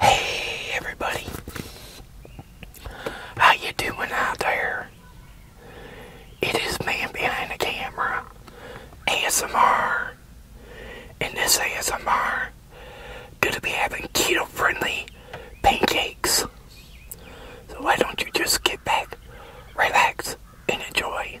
Hey everybody, how you doing out there? It is man behind the camera, ASMR, and this ASMR gonna be having keto-friendly pancakes. So why don't you just get back, relax, and enjoy.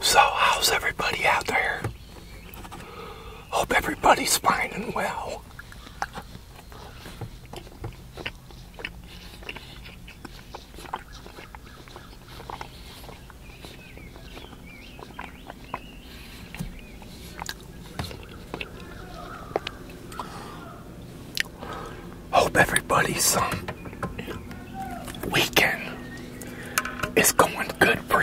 So, how's everybody out there? Hope everybody's fine and well. Hope everybody's um, weekend is going good for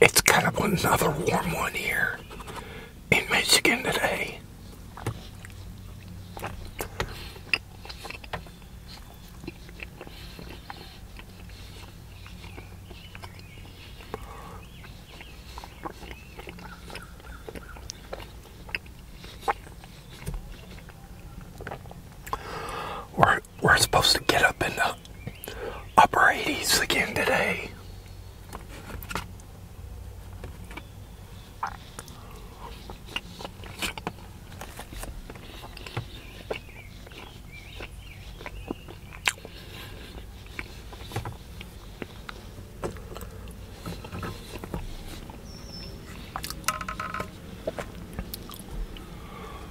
It's kind of another warm one here in Michigan today. we we're, supposed to get up in the upper 80s again today.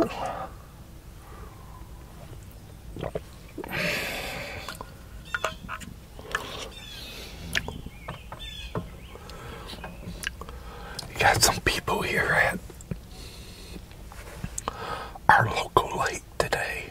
You got some people here at our local lake today.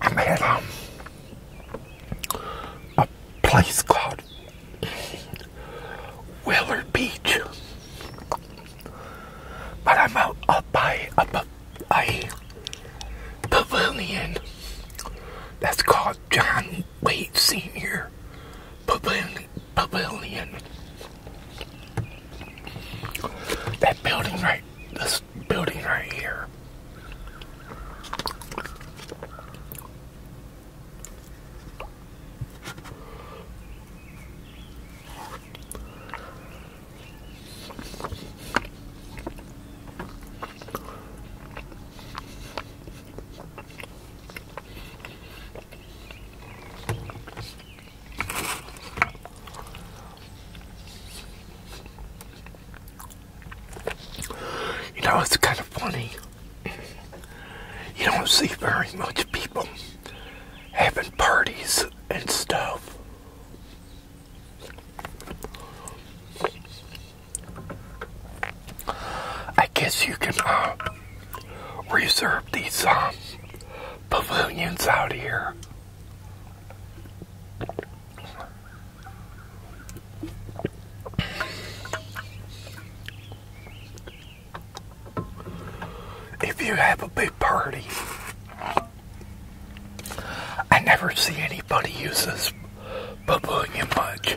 I'm at a place called Willard Beach, but I'm out up by up a, a pavilion that's called John Wade Senior Pavilion. Pavilion. That building right this building right here. You know, it's kind of funny. You don't see very much people having parties and stuff. I guess you can uh, reserve these um, pavilions out here. If you have a big party, I never see anybody use this bubbling much.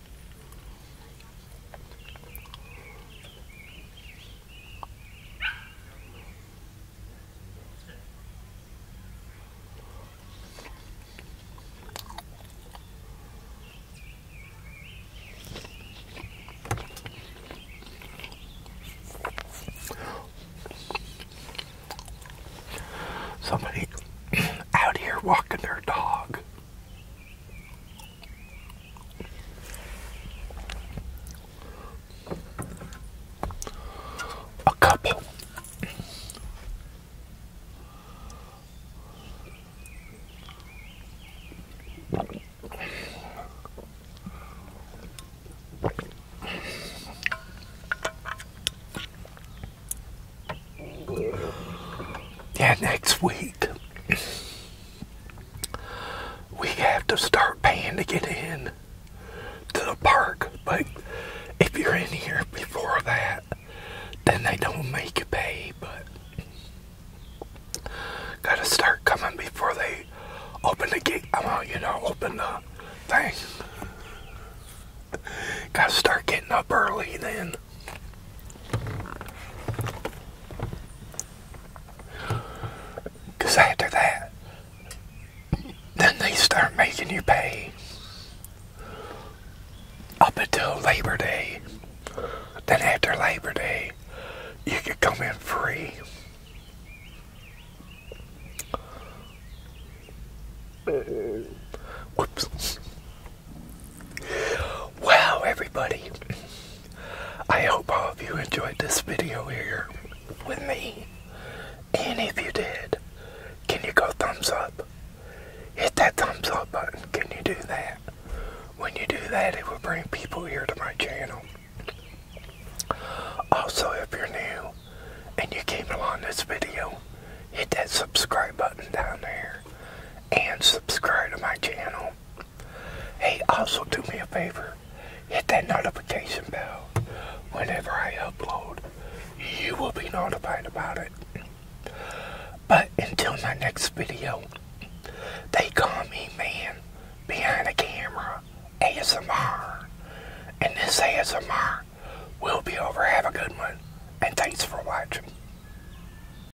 Somebody out here walking their dog. A couple. Yeah, next week we have to start paying to get in to the park. But if you're in here before that, then they don't make you pay. But gotta start coming before they open the gate. I want you to open the thing. Gotta start getting up early then. Because after that, then they start making you pay up until Labor Day. Then after Labor Day, you can come in free. Whoops. Wow, everybody. I hope all of you enjoyed this video here with me. And if you did, can you go thumbs up? Hit that thumbs up button. Can you do that? When you do that, it will bring people here to my channel. Also, if you're new and you came along this video, hit that subscribe button down there and subscribe to my channel Hey, also do me a favor. Hit that notification bell. Whenever I upload, you will be notified about it. But until my next video, they call me man behind the camera ASMR. And this ASMR will be over. Have a good one. And thanks for watching.